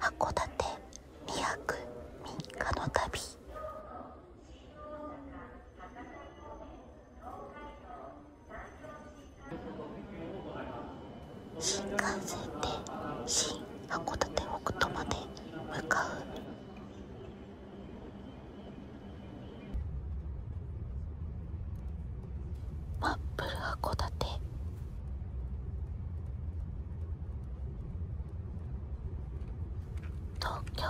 函館2泊新幹線で新函館北斗まで向かうマップル函館東京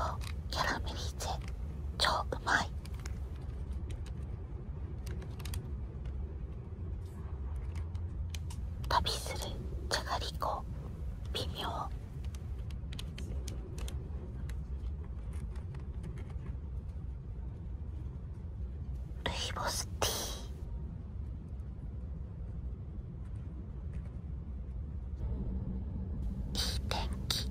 キャラメリゼ超うまい旅するじゃがりこ微妙ルイボスティーいい天気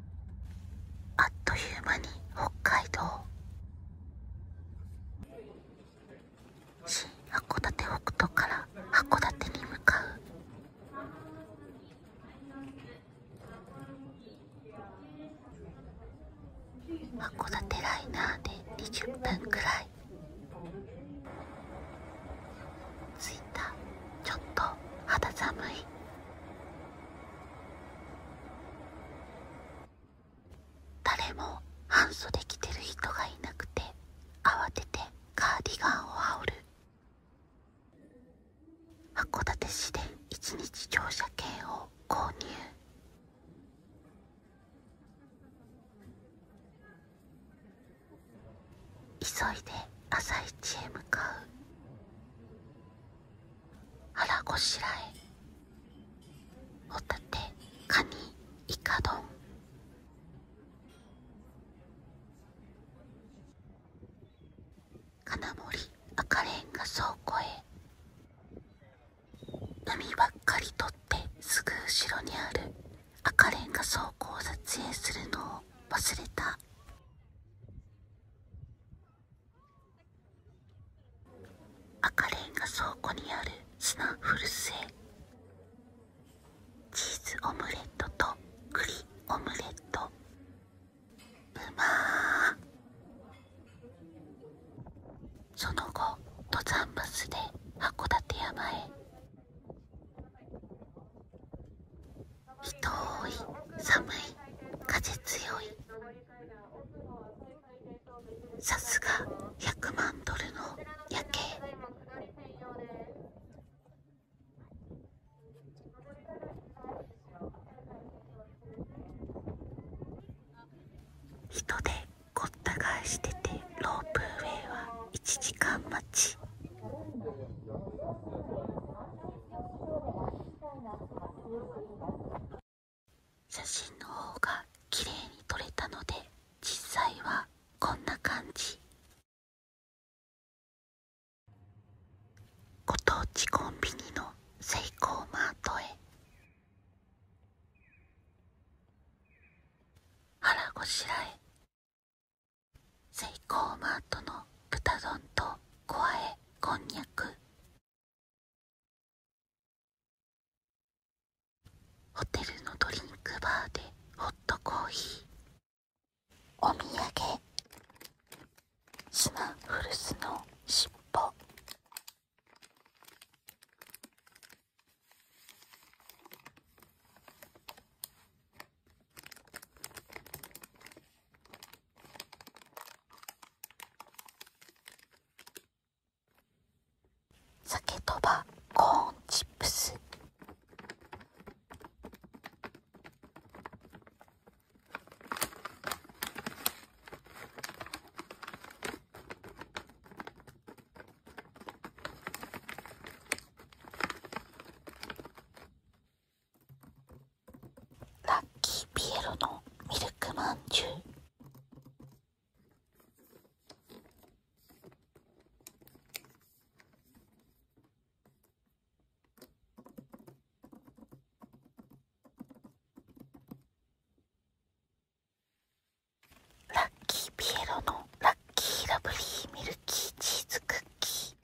あっという間に北海道新函館北斗から函館に向かう函館ライナーで20分くらい着いたちょっと肌寒い誰も半袖着てる人がいなくて慌ててカーディガンを羽織る函館市で一日乗車券を購入急いで朝市へ向かう腹ごしらえホタテカニイカ丼金森赤レンガ倉庫へ海ばっかり撮ってすぐ後ろにある赤レンガ倉庫を撮影するのを忘れた赤レンガ倉庫にあるスナッフチーズオムレットと栗オムレットうまーその後登山バスで函館山へ人多い寒い風強いさすが100万ドルの夜景人でごった返しててロープウェイは1時間待ち写真の方が綺麗に撮れたので実際はこんな感じご当地コンビニのセイコーマートへ腹ごしらえセイマートの豚丼と小あえこんにゃくホテルのドリンクバーでホットコーヒーお土産島古巣ルスの尻尾酒とばコーンチップスラッキーピエロのミルクまんじゅうラッキーピエロのラッッキーラブリーミルキーチーズクッキー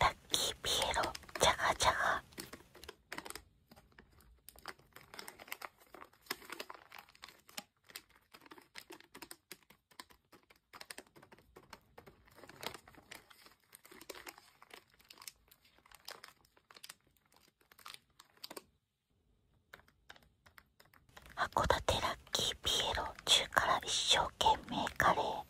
ラッピエロジャガジャガ函館ラッキーピエロ中辛一生懸命カレー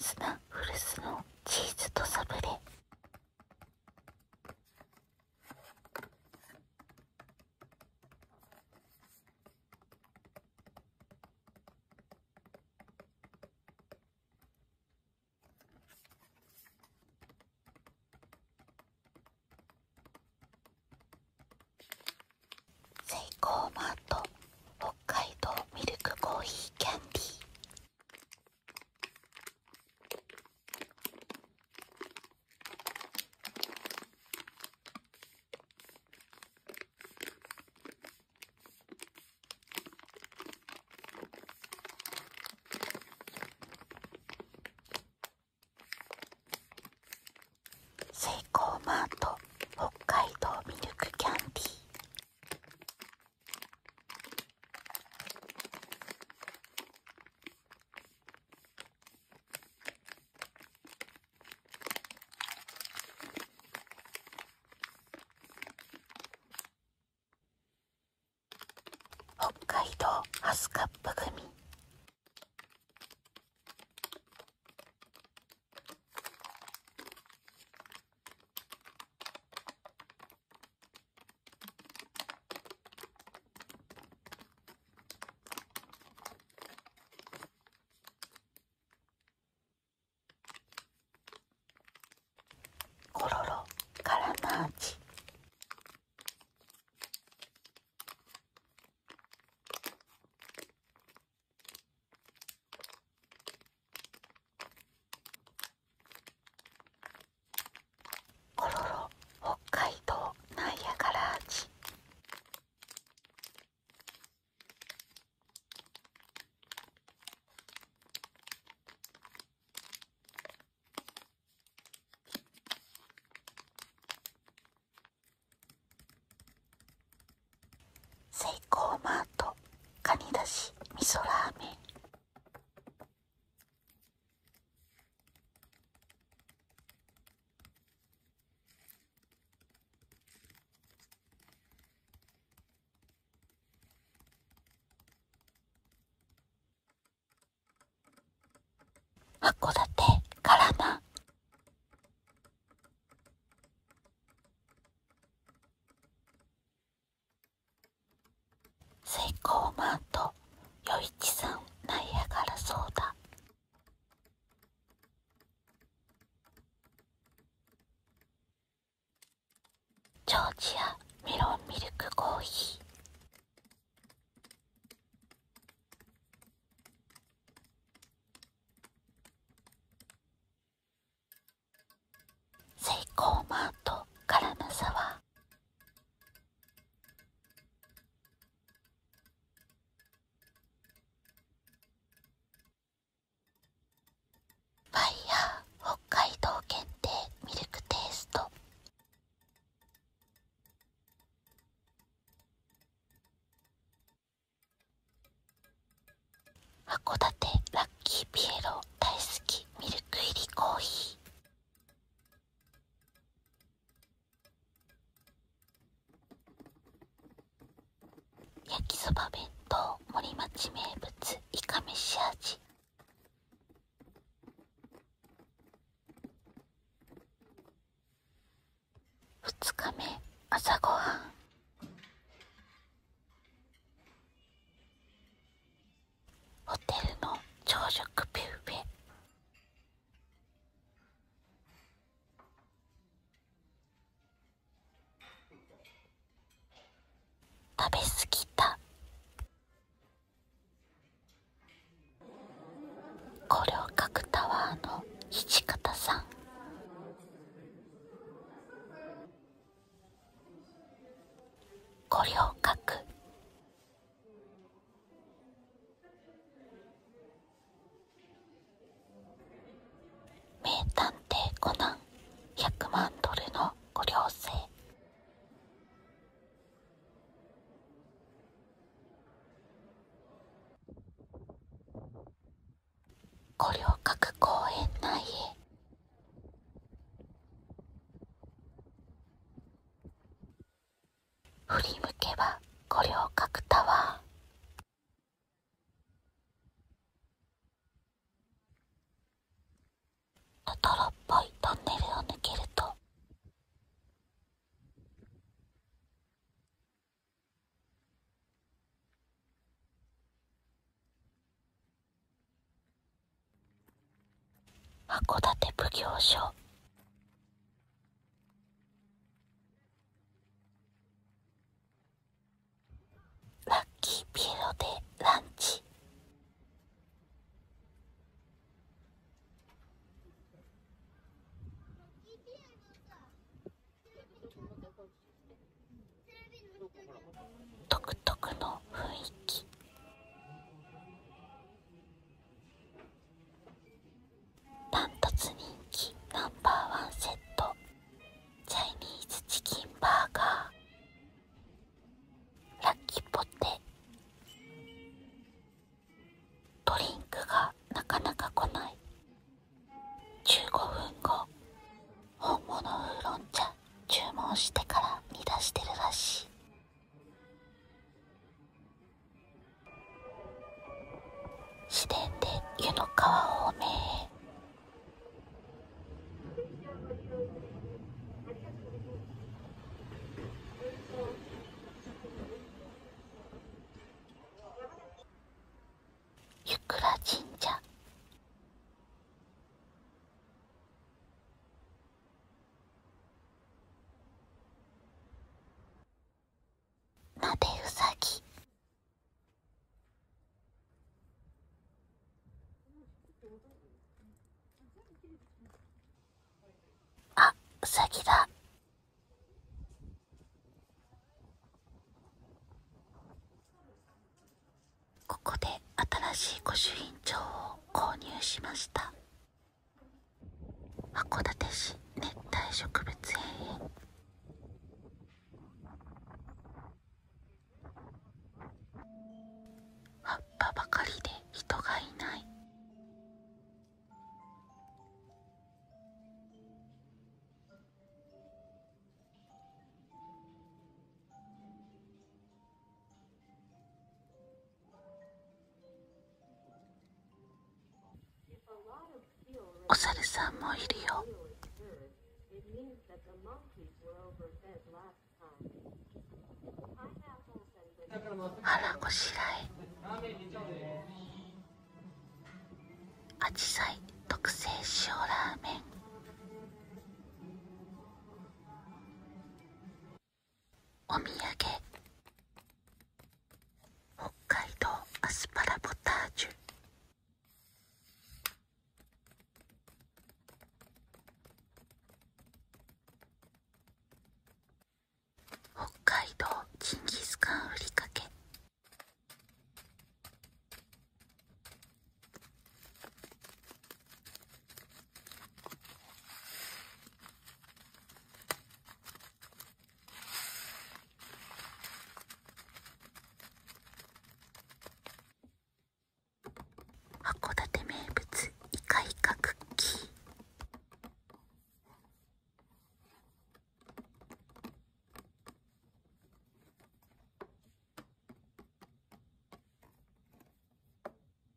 スナッフルスのチーズとサブレセイコーマート北海道ミルクコーヒーキャンディーセイマート北海道ミルクキャンディー北海道ハスカップ組コロロカラマーチコロロ北海道ナイアカラーチセイコーマートカニだし味噌ラーメン函館からまセイコーマンと余一さんナいアがラそうだ。ジョージアメロンミルクコーヒーセイコーマートカラムサワーファイヤー、北海道限定ミルクテイスト函館ラッキーピエロ大好きミルク入りコーヒー焼きそば弁当森町名物いかめし味2日目朝ごはんホテルの朝食ビュッフェ食べ過ぎたこれを描くタワーの土方さんこれを描く名探偵コナン100万ドルのご両生五稜郭公園内へ振り向けば五稜郭タワートトロっぽいトンネルを抜けると函館奉行所ラッキーピエロでランチ独特の雰囲気ダントツ人気ナンバーワンセットチャイニーズチキンバーガーラッキーポテドリンクがなかなか来ない15分後本物ウーロン茶注文してから煮出してるらしい自然で湯の川方面へゆく神社なでうさぎあうさぎだここで新しい御朱印帳を購入しました。函館市熱帯植物園へ。葉っぱばかりで人がいないお猿さんもいるよ。腹ごしらえ。アジサイ特製塩ラーメン。お土産北海道アスパラポタージュ北海道ジンギスカンふりかけ函館名物イカイカクッキー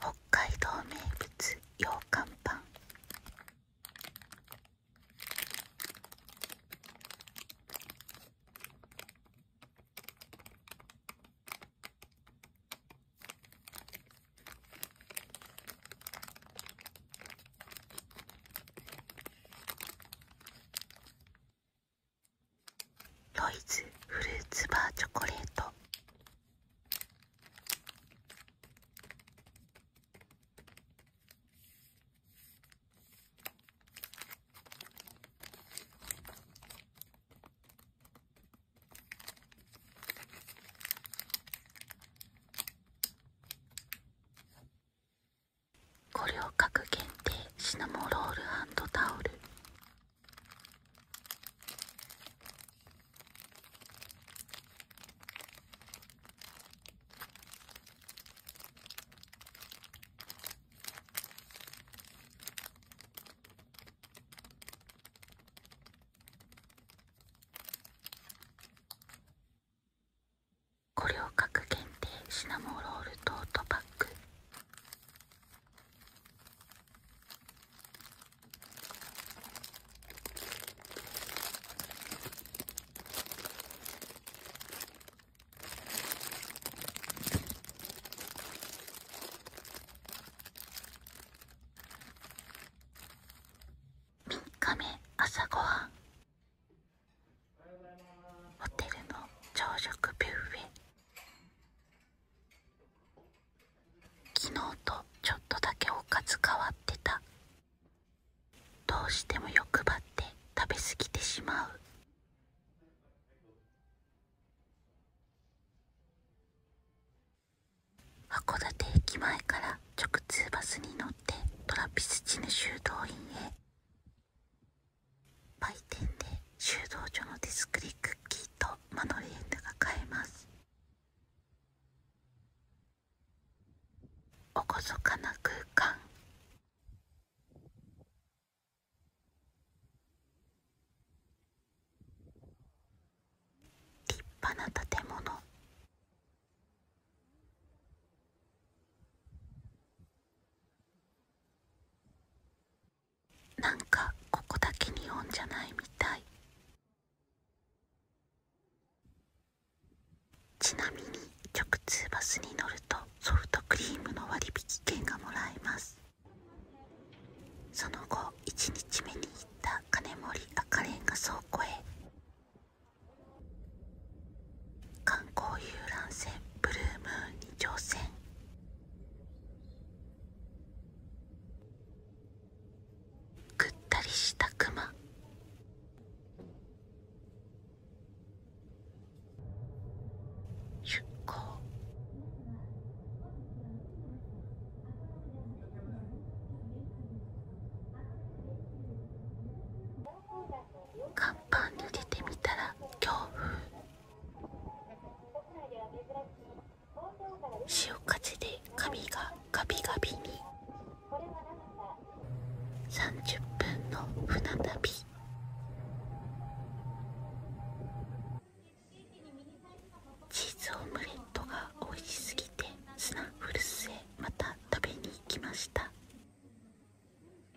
北海道名物羊羹パンロイズフルーツバーチョコレート五稜郭限定シナモロールタオル五稜郭限定シナモロールトートバッグ3日目朝ごはんホテルの朝食ビューフェ昨日とちょっとだけおかず変わってたどうしても欲張って食べ過ぎてしまう函館駅前から直通バスに乗ってトラピスチヌ修道院へ売店で収道所のディスクッキーとマドレーヌが買えますおこそかな空間立派な建物なんかここだけ日本じゃないみたいちなみに直通バスに乗るとソフトクリームの割引券がもらえますその後1日目に行った金森赤レンガ倉庫へ観光遊覧船ブルームーンに乗船ぐったりしたクマ出航パ板に出てみたら強風潮風で髪がガビガビに30分の船旅チーズオムレットが美味しすぎてスナッフルへまた食べに行きました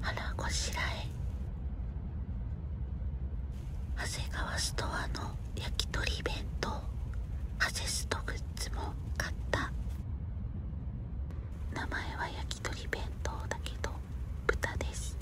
腹ごしらえ長谷川ストアの焼き鳥弁当ハゼストグッズも買った名前は焼き鳥弁当だけど豚です